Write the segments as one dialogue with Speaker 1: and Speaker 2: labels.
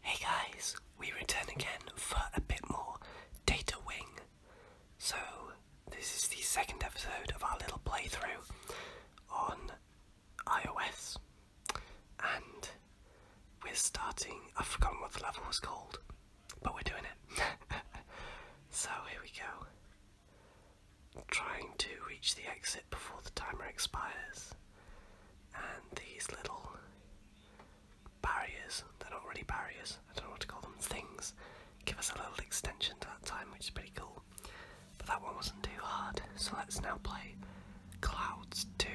Speaker 1: Hey guys, we return again for a bit more Data Wing. So, this is the second episode of our little playthrough on iOS. And we're starting, I've forgotten what the level was called, but we're doing it. so, here we go. Trying to reach the exit before the timer expires and these little barriers, they're not really barriers, I don't know what to call them, things, give us a little extension to that time, which is pretty cool. But that one wasn't too hard, so let's now play Clouds 2,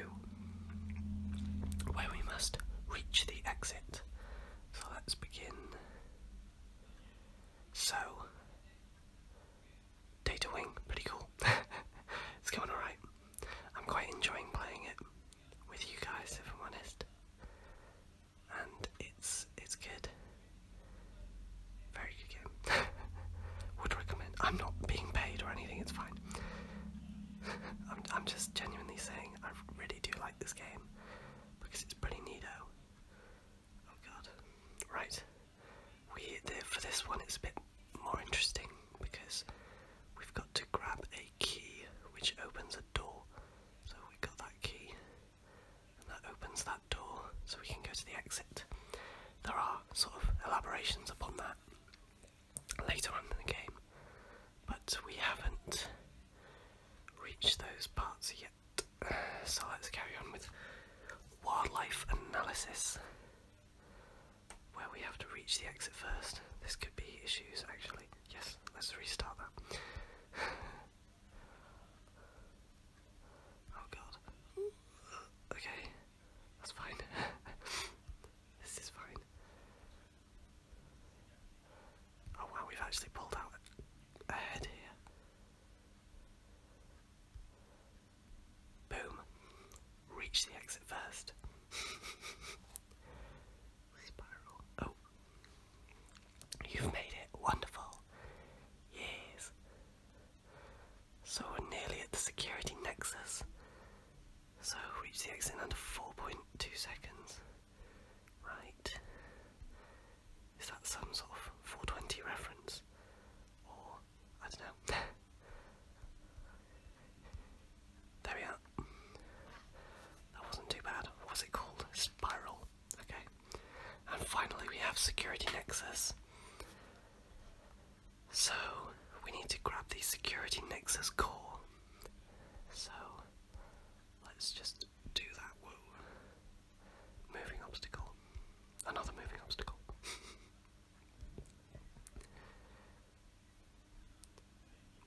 Speaker 1: where we must reach the exit. So let's begin. So, Data Wing, pretty cool. it's going alright. I'm quite enjoying playing it with you guys, if I'm honest. And it's it's good. Very good game. Would recommend. I'm not being paid or anything. It's fine. I'm I'm just genuinely saying I really do like this game because it's pretty neato. Oh god. Right we for this one it's a bit more interesting because we've got to grab a key which opens a door. So we got that key, and that opens that door, so we can go to the exit. There are sort of elaborations upon that later on in the game, but we haven't reached those parts yet. So let's carry on with wildlife analysis where we have to reach the exit first. This could be issues actually. Yes, let's restart that. oh god. Okay, that's fine. this is fine. Oh wow, we've actually pulled out ahead here. Boom. Reach the exit first. Spiral. Oh. You've made it. Wonderful. Yes. So we're nearly at the security nexus. So reach the exit in under 4.2 seconds. Right. Is that some sort of 420 reference? I don't know. there we are. That wasn't too bad. What was it called? Spiral. Okay. And finally, we have Security Nexus. So, we need to grab the Security Nexus core. So, let's just do that. Moving obstacle. Another moving obstacle.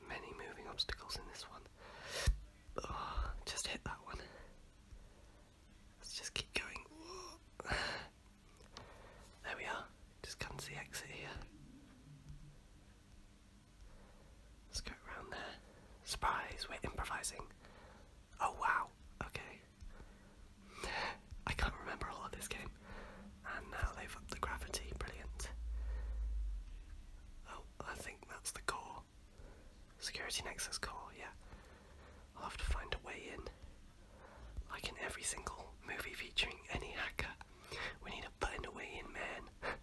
Speaker 1: Many moving obstacles in this one. just hit that one. Let's just keep going. There we are. Just come to the exit here. Let's go around there. Surprise, we're improvising. Oh wow, okay. I can't remember all of this game. And now they've upped the gravity, brilliant. Oh, I think that's the core. Security Nexus core, yeah. I'll have to find a way in. Like in every single movie featuring any hacker, we need to find a way in, man.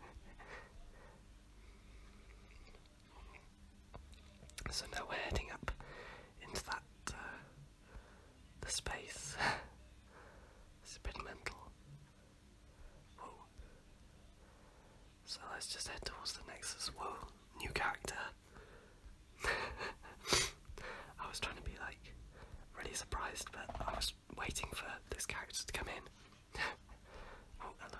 Speaker 1: so now we're heading up into that uh, the space. it's a bit mental. So let's just head towards the Nexus. Whoa, new character. I was trying to be like really surprised, but I was waiting for this character to come in. oh, hello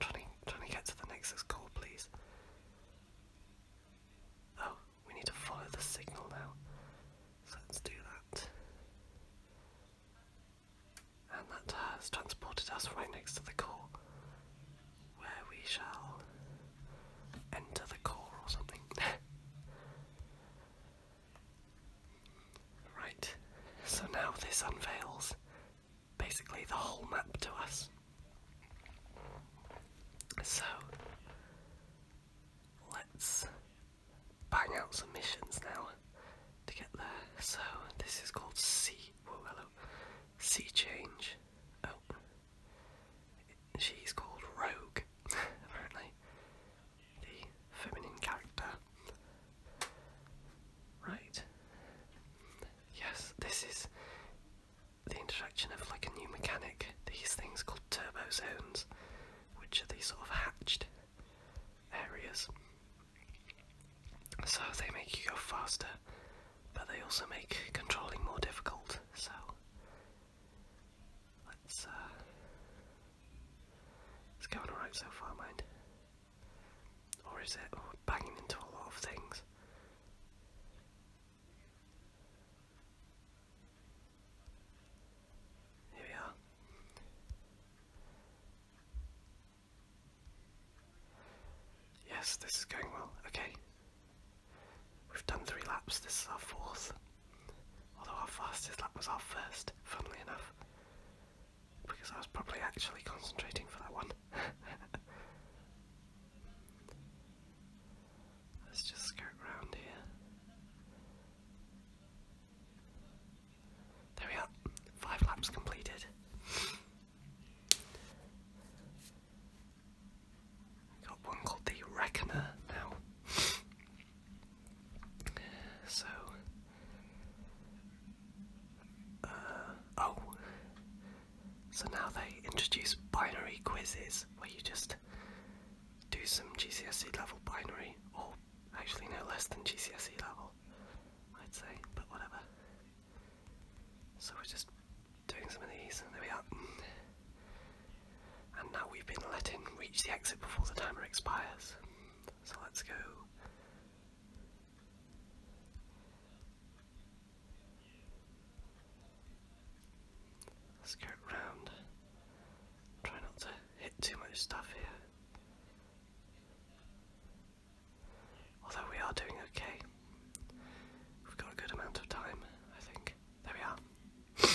Speaker 1: trying to, trying to get to the nexus core, please. Oh, we need to follow the signal now. So let's do that. And that has transported us right next to the core, where we shall enter the core or something. right, so now this unveils basically the whole map to us. So let's bang out some missions now to get there. So this is called Sea. Whoa, Sea Change. Oh, she's called Rogue. Apparently, the feminine character. Right. Yes, this is the introduction of like a new mechanic. These things called turbo zones, which are these sort of hatched areas. So they make you go faster, but they also make controlling more difficult. So let's uh, it's going alright so far, mind. Or is it banging into a lot of things? Here we are. Yes, this is going well. Okay. We've done three laps, this is our fourth. Although our fastest lap was our first, funnily enough because I was probably actually concentrating for that one. Let's just skirt round here. There we are, five laps completed. Got one called the Reckoner now. So uh, oh, so now they introduce binary quizzes where you just do some GCSE level binary, or actually no less than GCSE level, I'd say, but whatever. So we're just doing some of these, and there we are. And now we've been letting reach the exit before the timer expires. So let's go let round. Try not to hit too much stuff here. Although we are doing okay. We've got a good amount of time, I think. There we are.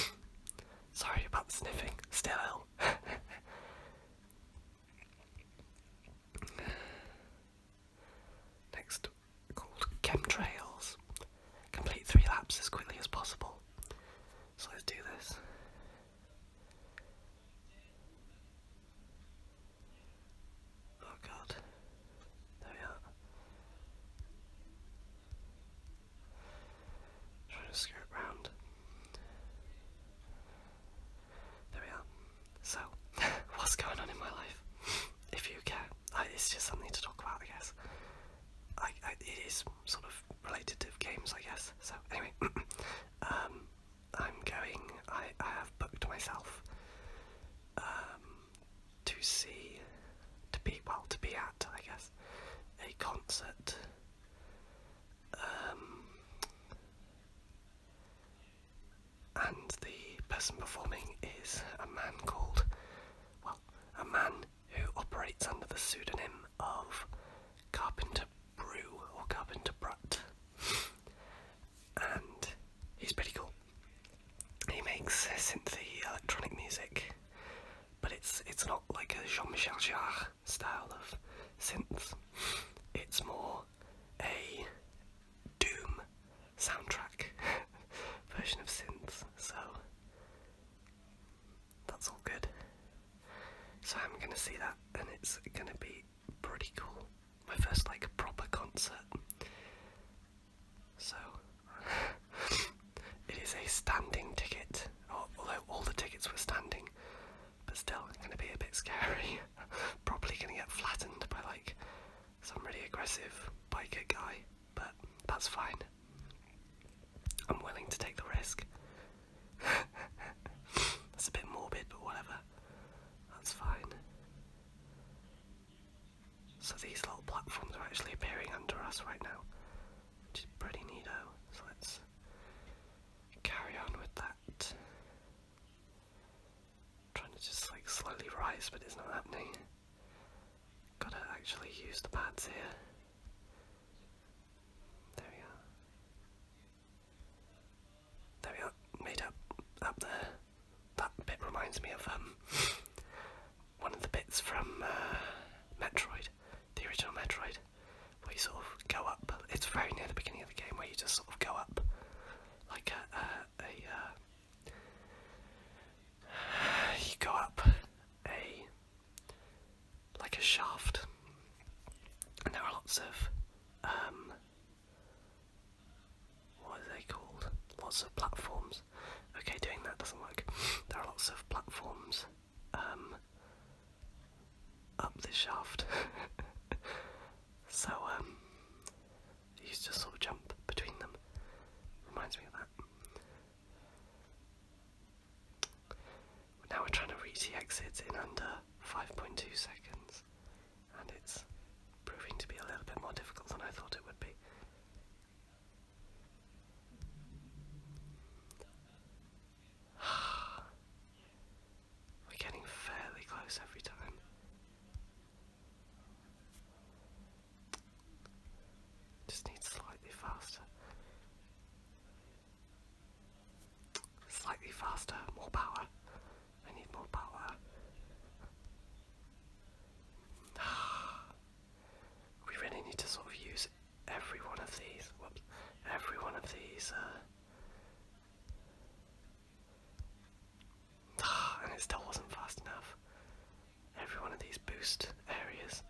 Speaker 1: Sorry about the sniffing. Still ill. Next, called chemtrails. Complete three laps as quickly as possible. So let's do this. Oh god. There we are. Trying to skirt round. There we are. So, what's going on in my life? If you care, it's just something to talk about, I guess. I, it is sort of related to games, I guess. So, anyway, um, I'm going. I, I have booked myself um, to see, to be well, to be at, I guess, a concert. Um, and the person performing is a man called, well, a man who operates under the pseudonym of Carpenter Brew or Carpenter Brutt, and he's pretty cool. He makes synthy electronic music, but it's it's not like a Jean-Michel Jarre style of synth. It's more a Doom soundtrack version of synths, so that's all good. So I'm gonna see that, and it's gonna be pretty cool. My first like proper concert. So it is a standing ticket, although all the tickets were standing, but still, gonna be a bit scary. probably gonna get flattened by like some really aggressive biker guy, but that's fine. I'm willing to take the risk. that's a bit morbid, but whatever. That's fine. So these little platforms are actually appearing under us right now, which is pretty neato. So let's carry on with that trying to just like slowly rise, but it's not happening. Gotta actually use the pads here. There we are. There we are, made up up there. That bit reminds me of um one of the bits from uh, Metroid, the original Metroid where you sort of go up. It's very near the beginning of the game where you just sort of go up like a, a, uh, you go up a like a shaft, and there are lots of um, what are they called? Lots of platforms. Okay, doing that doesn't work. There are lots of platforms um, up the shaft. so he um, used to sort of jump between them. Reminds me of that. Now we're trying to reach the exit in under 5.2 seconds, and it's proving to be a little bit more difficult than I thought it would be. We're getting fairly close every time. Just need slightly faster. Slightly faster, more power. I need more power. we really need to sort of use every one of these. every one of these uh, and it still wasn't fast enough. Every one of these boost areas.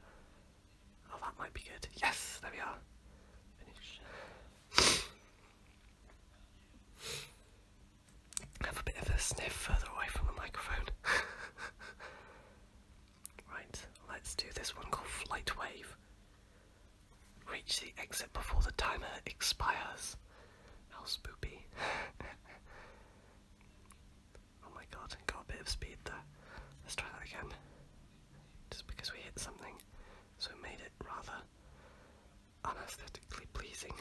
Speaker 1: Oh, that might be good. Yes, there we are. Finish. Have a bit of a sniff further away from the microphone. right, let's do this one called Flight Wave. Reach the exit before the timer expires. How spoopy. oh my god, got a bit of speed there. Let's try that again. Just because we hit something, so it made it rather unaesthetically pleasing.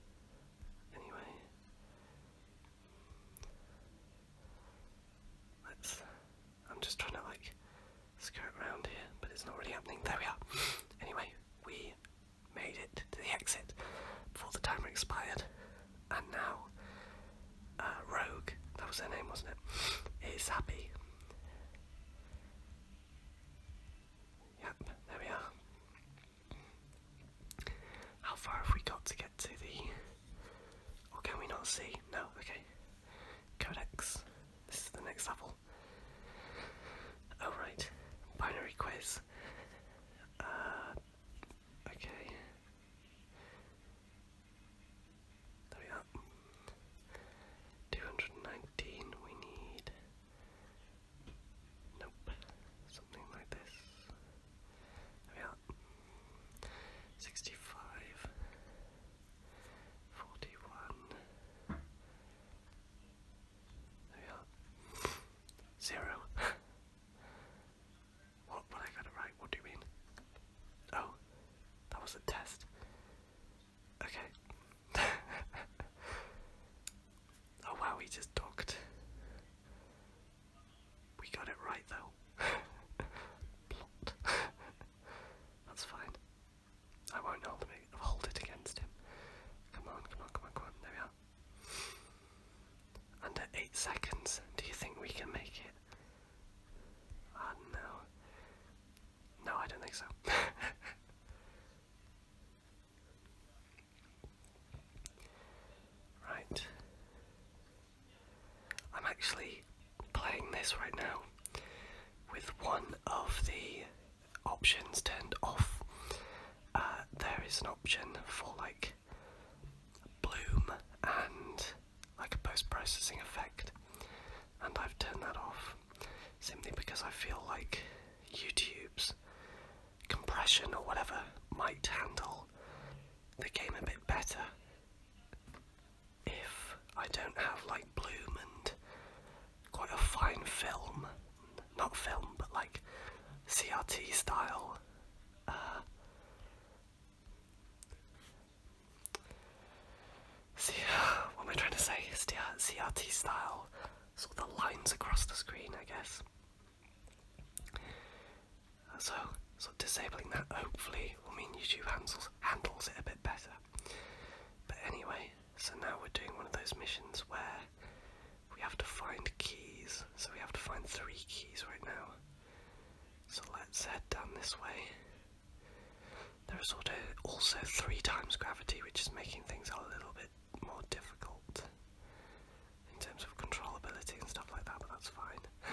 Speaker 1: anyway. Let's I'm just trying to like skirt around here, but it's not really happening. There we are. Anyway, we made it to the exit before the timer expired, and now uh, Rogue, that was her name, wasn't it? Is happy. Yep, there we are. How far have we got to get to the. Or can we not see? No, okay codecs. This is the next level. Alright, oh, binary quiz. Uh, okay. There we are. 219, we need. Nope. Something like this. There we are. 65. 41. There we are. Zero. what, what I got it right? What do you mean? Oh, that was a test. Okay. oh wow, he just docked. We got it right though. Plot. That's fine. I won't hold, me, hold it against him. Come on, come on, come on, come on. There we are. Under 8 seconds. Do you think we can make it? Ah, no. No, I don't think so. right. I'm actually playing this right now with one of the options turned off. Uh, there is an option for like bloom and like a post processing effect, and I've turned that off simply because I feel like YouTube's compression or whatever might handle the game a bit better if I don't have like Bloom and quite a fine film, not film, but like CRT style. Uh, see, what am I trying to say? CRT style, sort of the lines across the screen, I guess. So, so disabling that hopefully will mean YouTube handles handles it a bit better. But anyway, so now we're doing one of those missions where we have to find keys. So we have to find three keys right now. So let's head down this way. There is also three times gravity, which is making things a little bit more difficult in terms of controllability and stuff like that, but that's fine.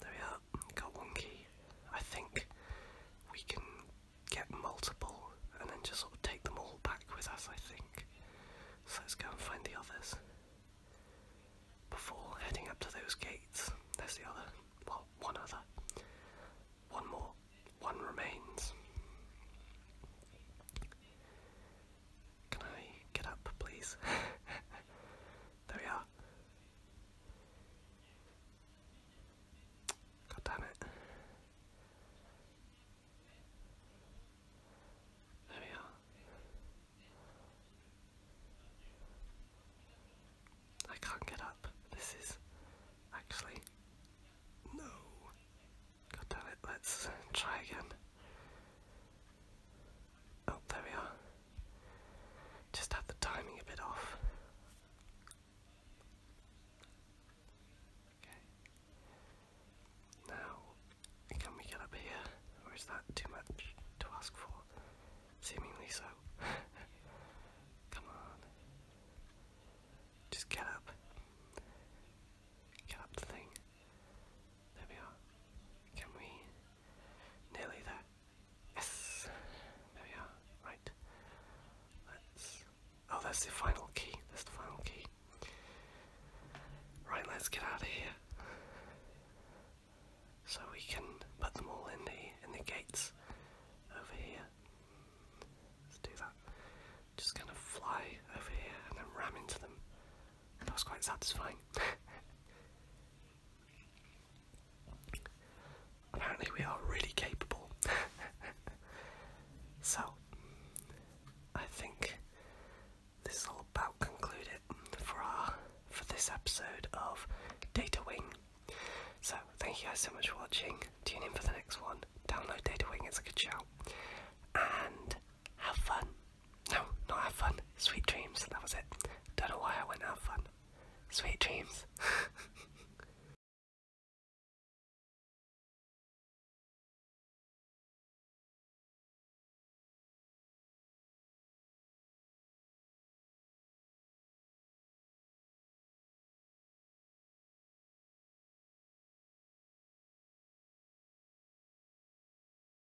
Speaker 1: there we are that got wonky, I think we can get multiple and then just sort of take them all back with us, I think. So let's go and find the others. Before heading up to those gates, there's the other, well, one other. One more, one remains. Can I get up, please? there we are. God damn it. There we are. I can't get up. This is actually. No! God damn it, let's try again. Oh, there we are. Just had the timing a bit off. Okay. Now, can we get up here? Or is that too much to ask for? Seemingly so. Come on. Just get up. Get up thing. There we are. Can we Nearly there. Yes! There we are. Right. Let's. Oh, that's the final key. That's the final key. Right, let's get out of here. So we can put them all in the in the gates over here. Let's do that. Just gonna fly over here and then ram into them. That was quite satisfying. Apparently, we are really capable. so, I think this will about conclude it for our for this episode of Data Wing. So, thank you guys so much for watching. Tune in for the next one. Download Data Wing; it's a good show. And have fun. No, not have fun. Sweet dreams. That was it. Don't know why I went have fun. Sweet dreams.